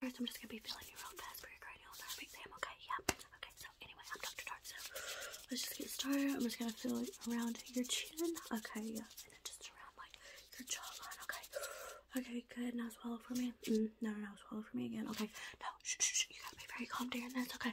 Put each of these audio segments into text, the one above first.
First, I'm just gonna be feeling you real fast for your cranial nerve exam, okay? Yeah. Okay, so anyway, I'm Dr. Dark. so let's just get started. I'm just gonna feel it around your chin, okay? Yeah, and then just around like your jawline, okay? Okay, good. Now swallow for me. Mm, no, no, no, swallow for me again, okay? No, You gotta be very calm during this, okay?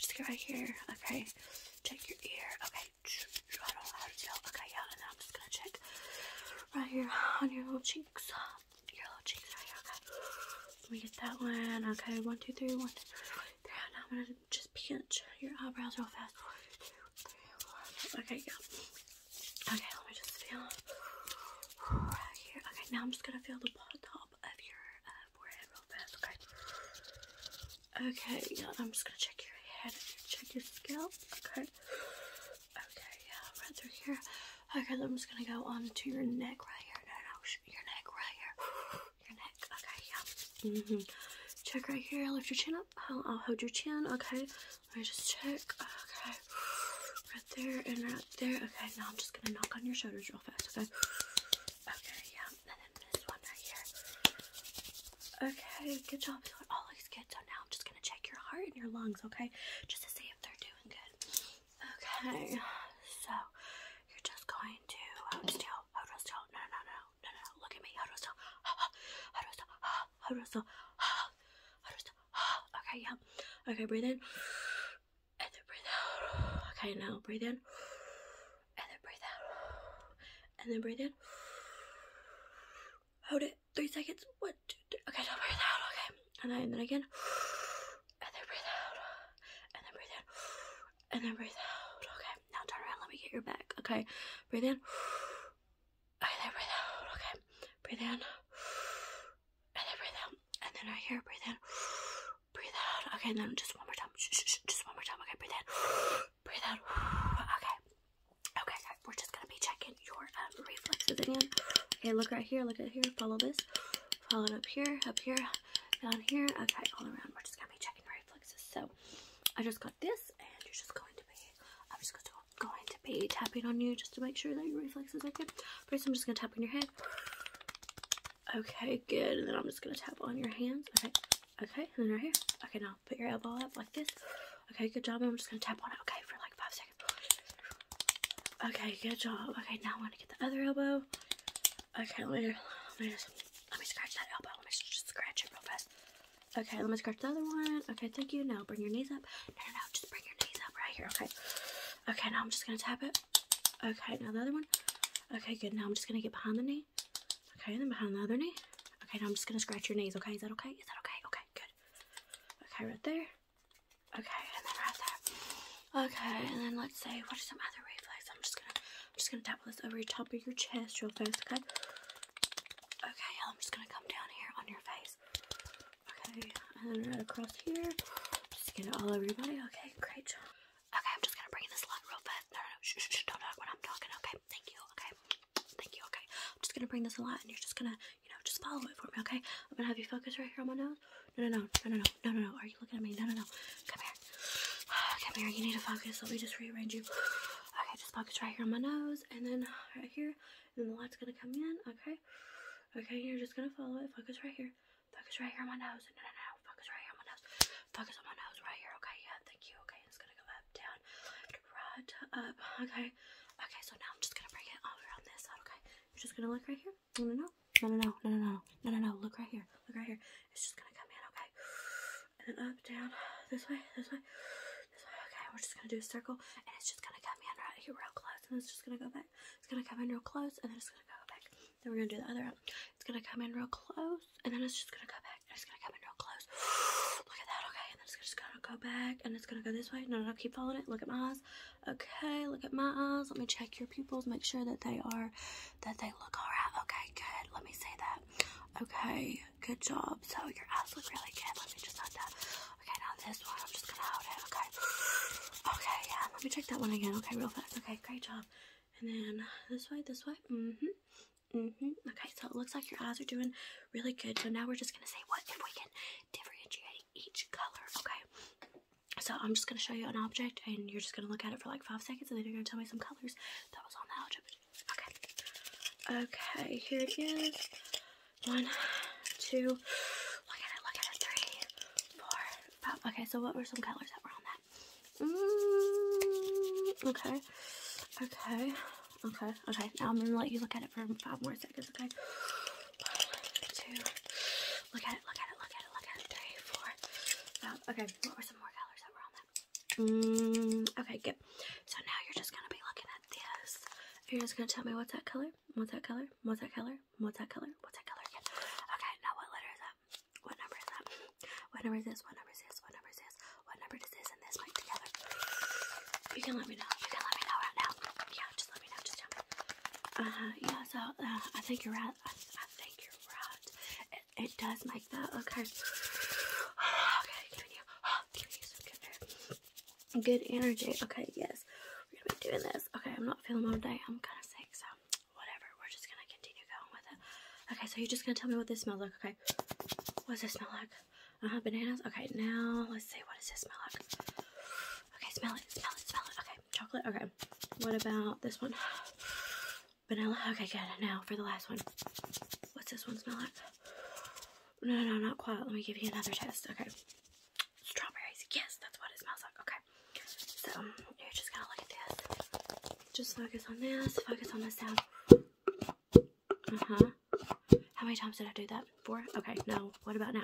Just get right here, okay? Check your ear, okay? I don't know to feel, okay? Yeah, and then I'm just gonna check right here on your little cheeks. Your little cheeks right okay? Let me get that one. Okay, one, two, three, one, two, three. now I'm gonna just pinch your eyebrows real fast. Okay, yeah. Okay, let me just feel right here. Okay, now I'm just gonna feel the top of your uh, forehead real fast, okay? Okay, yeah, I'm just gonna check your head, check your scalp, okay? Okay, yeah, right through here. Okay, then I'm just gonna go on to your neck right here. No, no, your neck right here. Your neck. Okay, yeah. -hmm. Check right here. Lift your chin up. I'll, hold your chin. Okay. Let just check. Okay. Right there and right there. Okay, now I'm just gonna knock on your shoulders real fast. Okay. Okay, yeah. then this one right here. Okay, good job. All looks good. So now I'm just check your heart and your lungs, okay? Just to see if they're doing good. Okay, so you're just going to hold still, hold still. no, no, no, no, no. Look at me. Hold still. Hold still. Hold still. Hold still. Okay, yeah. Okay, breathe in. And then breathe out. Okay, now breathe in. And then breathe out. And then breathe in. Hold it three seconds. What? Okay, now breathe out. Okay, and then, and then again, and then breathe out, and then breathe in, and then breathe out. Okay, now turn around. Let me get your back. Okay, breathe in. Okay, then breathe out. Okay, breathe in, and then breathe out, and then right here, breathe in, breathe out. Okay, and then just one more time. Just one more time. Okay, breathe in, breathe out. Okay, Okay, guys, we're just gonna be checking your um, reflexes again. Okay, look right here, look at here, follow this, follow it up here, up here, down here. Okay, all around. We're just gonna be checking reflexes. So I just got this, and you're just going to be, I'm just gonna, going to be tapping on you just to make sure that your reflexes are good. First, I'm just gonna tap on your head. Okay, good. And then I'm just gonna tap on your hands. Okay, okay, and then right here. Okay, now put your elbow up like this. Okay, good job. I'm just gonna tap on it, okay, for like five seconds. Okay, good job. Okay, now I'm gonna get the other elbow. Okay, let me, let me let me scratch that elbow. Let me just scratch it real fast. Okay, let me scratch the other one. Okay, thank you. Now bring your knees up. No, no, no, just bring your knees up right here. Okay. Okay, now I'm just gonna tap it. Okay, now the other one. Okay, good. Now I'm just gonna get behind the knee. Okay, and then behind the other knee. Okay, now I'm just gonna scratch your knees, okay? Is that okay? Is that okay? Okay, good. Okay, right there. Okay, and then right there. Okay, and then let's see, what are some other reflexes? I'm just gonna I'm just gonna tap this over the top of your chest real fast, okay? Okay, I'm just gonna come down here on your face. Okay, and then right across here. Just get it all over your body. Okay, great job. Okay, I'm just gonna bring this light real fast. No, no, no, shh, shh, shh, don't know what I'm talking. Okay, thank you, okay? Thank you, okay? I'm just gonna bring this a lot and you're just gonna, you know, just follow it for me, okay? I'm gonna have you focus right here on my nose. No, no, no, no, no, no, no, no, no. Are you looking at me? No, no, no. Come here. Come here, you need to focus. Let me just rearrange you. Okay, just focus right here on my nose and then right here. And then the light's gonna come in, okay? Okay, you're just gonna follow it. Focus right here. Focus right here on my nose. No, no, no. Focus right here on my nose. Focus on my nose right here, okay? Yeah, thank you. Okay, it's gonna go up, down, red up. Okay. Okay, so now I'm just gonna bring it all around this side, okay? You're just gonna look right here. No, no, no, no, no, no, no, no, no, no, Look right here. Look right here. It's just gonna come in, okay? And then up, down, this way, this way, this way. Okay, we're just gonna do a circle, and it's just gonna come in right here, real close, and it's just gonna go back. It's gonna come in real close, and then it's gonna go back. Then we're gonna do the other one. It's gonna come in real close, and then it's just gonna go back back and it's gonna come in real close. Look at that, okay? And then it's just gonna go back and it's gonna go this way. No, no, keep following it. Look at my eyes. Okay, look at my eyes. Let me check your pupils, make sure that they are, that they look all right. Okay, good. Let me say that. Okay, good job. So your eyes look really good. Let me just add that. Okay, now this one, I'm just gonna hold it, okay? Okay, yeah, let me check that one again. Okay, real fast. Okay, great job. And then this way, this way. Mm-hmm. Mm -hmm. Okay, so it looks like your eyes are doing really good. So now we're just going to say what if we can differentiate each color, okay? So I'm just going to show you an object, and you're just going to look at it for like five seconds, and then you're going to tell me some colors that was on the object. Okay. Okay, here it is. One, two, look at it, look at it, three, four, five. Okay, so what were some colors that were on that? Mm, okay. Okay. Okay. Okay. Now I'm gonna let you look at it for five more seconds, okay? One, two. Look at it, look at it, look at it, look at it. Three, four, five. Um, okay, what were some more colors that were on that? Mm, okay, good. So now you're just gonna be looking at this. You're just gonna tell me what's that color? What's that color? What's that color? What's that color? What's that color? What's that color? Yeah. Okay, now what letter is that? What number is that? What number is this? What number is this? What number is this? What number does this and this make together? You can let me know. You can let me know right now. Yeah, just let me know. Just tell me. Uh, yeah, so uh, I think you're right. I, think you're right. It, does make that. Okay. okay, good energy. Good energy. Okay, yes. We're going to be doing this. Okay, I'm not feeling all day. I'm kind of sick, so whatever. We're just gonna continue going with it. Okay, so you're just gonna tell me what this smells like, okay? What does this smell like? Uh-huh, bananas. Okay, now let's see. What does this smell like? Okay, smell it, smell it, smell it. Okay, chocolate. Okay, what about this one? Vanilla. Okay, good. Now for the last one. What's this one smell like? No, no, no, not quite. Let me give you another test. Okay. Strawberries. Yes, that's what it smells like. Okay. So you're just gonna look at this. Just focus on this. Focus on the sound. Uh huh. How many times did I do that? Four? Okay, no. What about now?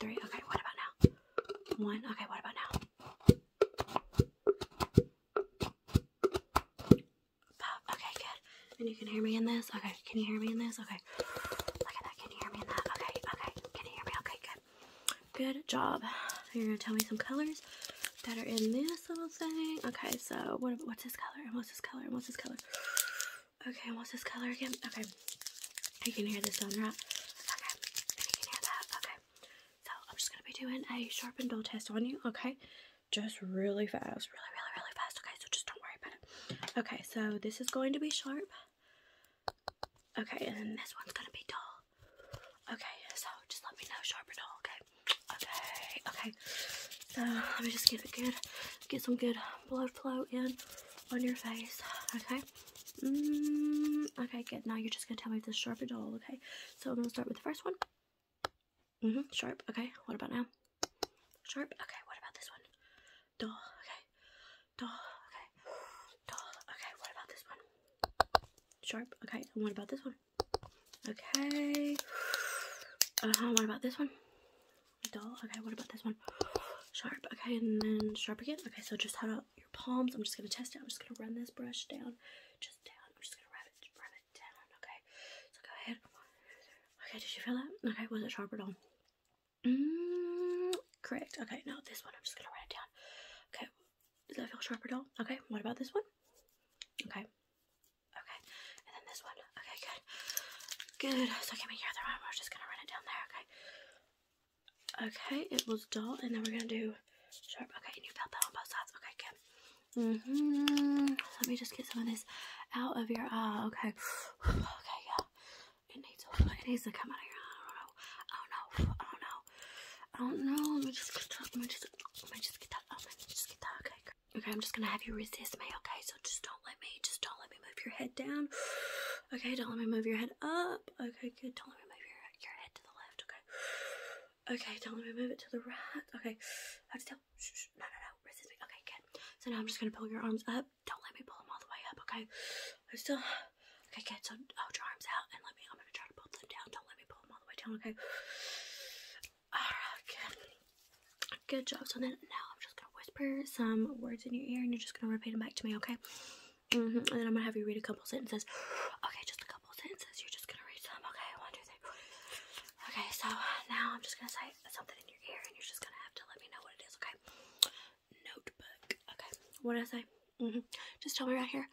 Three. Okay, what about now? One. Okay, what about now? Five. Okay, good. And you can hear me in this? Okay, can you hear me in this? Okay. Look at that. Can you hear me in that? Okay, okay. Can you hear me? Okay, good. Good job. You're gonna tell me some colors that are in this little thing. Okay, so what, what's this color? And what's this color? And what's this color? Okay, and what's this color again? Okay, you can hear the sound, right? Okay, you can hear that. Okay, so I'm just gonna be doing a sharpened dull test on you. Okay, just really fast, really, really, really fast. Okay, so just don't worry about it. Okay, so this is going to be sharp. Okay, and then this one's gonna be dull. Okay, so just let me know sharp or dull, okay? Okay, okay. So let me just get a good, get some good blood flow in on your face, okay? Mm, okay, good. Now you're just gonna tell me if it's sharp or dull, okay? So I'm gonna start with the first one. hmm Sharp. Okay. What about now? Sharp. Okay. What about this one? Dull. Okay. Dull, okay. Duh, okay, what about this one? Sharp, okay, and what about this one? Okay. Uh-huh, what about this one? Dull, okay, what about this one? Sharp, okay, and then sharp again. Okay, so just hold out your palms. I'm just gonna test it. I'm just gonna run this brush down, just down. I'm just gonna rub it, rub it down, okay? So go ahead. Okay, did you feel that? Okay, was it sharp at all? Mm, correct. Okay, no, this one I'm just gonna write it down. Okay, does that feel sharp at all? Okay, what about this one? Okay, okay, and then this one. Okay, good, good. So give me your other arm. We're just gonna run it down there. Okay. Okay, it was dull, and then we're gonna do sharp. Okay, and you felt that on both sides. Okay, good. hmm Let me just get some of this out of your eye. Okay. okay, yeah. It needs to, it needs to come out of here. I don't know. I don't know. I don't know. I don't know. Let me just get let me just let me just get that. Let me just get that. Okay. Okay, I'm just gonna have you resist me. Okay, so just don't let me. Just don't let me move your head down. Okay, don't let me move your head up. Okay, good. Don't let me move your your head to the left. Okay. Okay, don't let me move it to the right. Okay. I have to tell. Shh, shh. No, no, no. Resist me. Okay, good. So now I'm just gonna pull your arms up up. Don't let me pull them all the way up, okay? I'm still okay, good. So hold your arms out and let me. I'm gonna try to pull them down. Don't let me pull them all the way down, okay? Alright, good. Good job. So then now I'm just gonna whisper some words in your ear, and you're just gonna repeat them back to me, okay? Mm -hmm. And then I'm gonna have you read a couple sentences. Okay, just a couple sentences. You're just gonna read some. Okay, one, two, three. Okay, so now I'm just gonna say something in your ear, and you're just gonna have to let me know what it is. Okay notebook. Okay, what did I say? -hmm. Just tell me right here.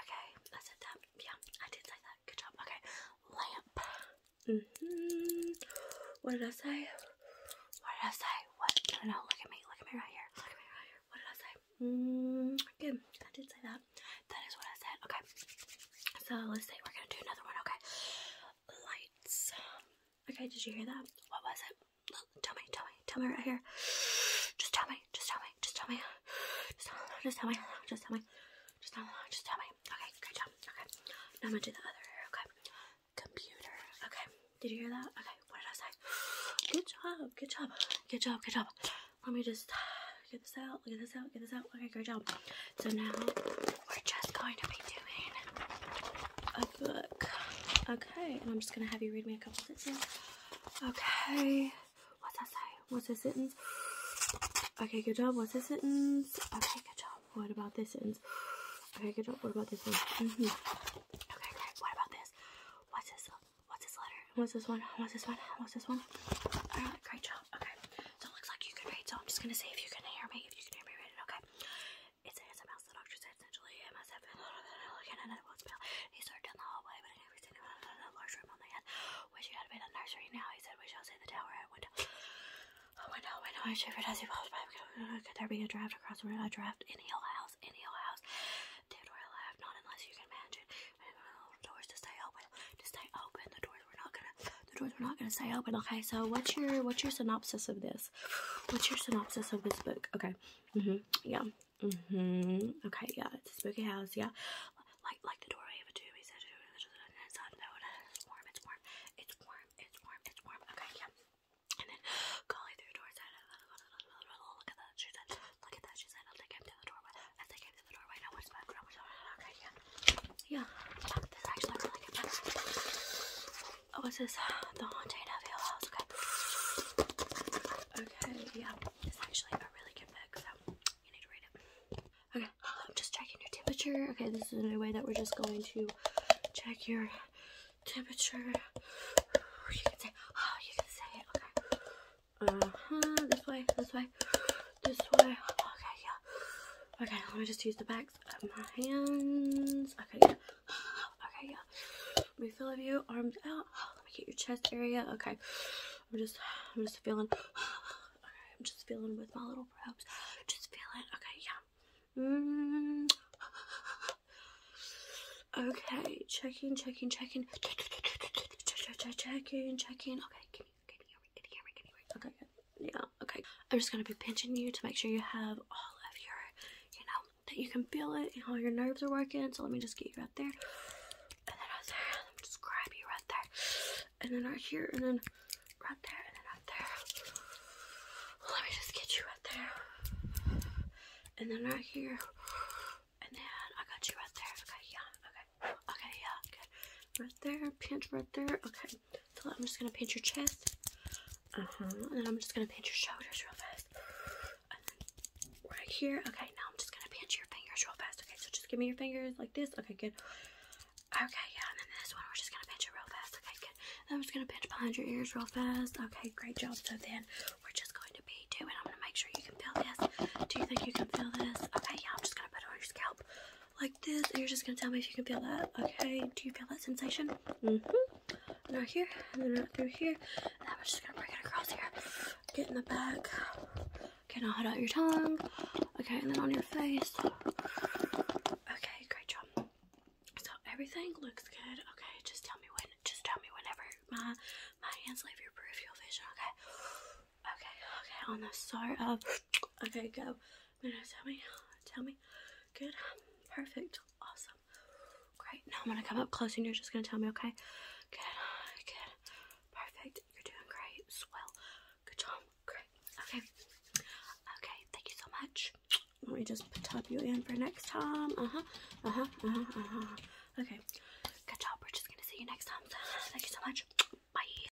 Okay, I said that. Yeah, I did say that. Good job. Okay, lamp. Mm -hmm. What did I say? What did I say? What? No, no, look at me. Look at me right here. Look at me right here. What did I say? Mm, good. I did say that. That is what I said. Okay. So let's say we're gonna do another one. Okay. Lights. Okay, did you hear that? What was it? Look, tell me, tell me, tell me right here. Just tell me, just tell me, just tell me. Just tell me, just tell me, just tell me. Just tell me, just tell me. Okay, great job. Okay. Now I'm gonna do the other ear, okay? Computer. Okay. Did you hear that? Okay, what did I say? Good job, good job, good job, good job. Let me just get this out, get this out, get this out. Okay, great job. So now we're just going to be doing a book. A Okay, and I'm just going to have you read me a couple sentences. Okay, what's that say? What's a sentence? Okay, good job. What's this sentence? Okay, good job. What about this sentence? Okay, good job. What about this one? Mm -hmm. Okay, great. What about this? What's this? What's this letter? What's this one? What's this one? What's this one? great job. Okay, so it looks like you can read, so I'm just going to see if you can hear me. If you can hear me read okay? It's a handsome mouse that doctor said essentially MSF and and it won't spill. He started down the hallway, but in every single a large room on the end, which he had been a nursery now, he said, we shall see the tower at window. A window, window, and shivered as he passed by. Could there be a draft across the room? A draft in Hill House, in Hill House. David Doyle not unless you can manage the doors to stay open, to stay open. The doors were not gonna, the doors were not gonna stay open. Okay, so what's your, what's your synopsis of this? What's your synopsis of this book? Okay. hmm Yeah. hmm Okay, yeah. It's a spooky house, yeah. Like the door Oh, is this the Haunted of Hill House? Okay. Okay, yeah. This is actually a really good book, so you need to read it. Okay, I'm just checking your temperature. Okay, this is a new way that we're just going to check your temperature. You can say, oh, you can say it. Okay. Uh-huh, this way, this way, this way. Okay, yeah. Okay, let me just use the back my hands. Okay, yeah. Okay, yeah. Move all of you, arms out. Let me get your chest area. Okay. I'm just I'm just feeling okay, I'm just feeling with my little probes. Just feeling okay, yeah. Mm. Okay, checking, checking, checking. Checking, checking, checking. Okay, give me, give me, give me, Okay, yeah, okay. I'm just gonna be pinching you to make sure you have all of your, you know, that you can feel it and all your nerves are working. So let me just get you right there. And then right there. Let me just grab you right there. And then right here. And then right there. And then right there. Let me just get you right there. And then right here. And then I got you right there. Okay, yeah. Okay. yeah. Good. Right there. Pinch right there. Okay. So I'm just gonna pinch your chest. Uh-huh, and then I'm just gonna pinch your shoulders real fast. And then right here. Okay, now I'm just gonna pinch your fingers real fast. Okay, so just give me your fingers like this. Okay, good. Okay, yeah, and then this one we're just gonna pinch it real fast. Okay, good. Then I'm just gonna pinch behind your ears real fast. Okay, great job. So then we're just going to be doing. I'm gonna make sure you can feel this. Do you think you can feel this? Okay, yeah, I'm just gonna put it on your scalp like this, and you're just gonna tell me if you can feel that, okay? Do you feel that sensation? Mm-hmm. Right here, and then right through here, and then we're just gonna bring it across here. Get in the back. Okay, now hold out your tongue. Okay, and then on your face. Okay, great job. So everything looks good. Okay, just tell me when. Just tell me whenever my my hands leave your peripheral vision. Okay. Okay. Okay. On the start of. Okay, go. Now tell me, tell me. Good, perfect, awesome, great. Now I'm gonna come up close and you're just gonna tell me, okay? Good, good, perfect. You're doing great, swell. Good job, great. Okay, okay. Thank you so much. Let me just tap you in for next time. Uh huh, uh huh, uh huh, uh huh. Okay, good job. We're just gonna see you next time. Thank you so much. Bye.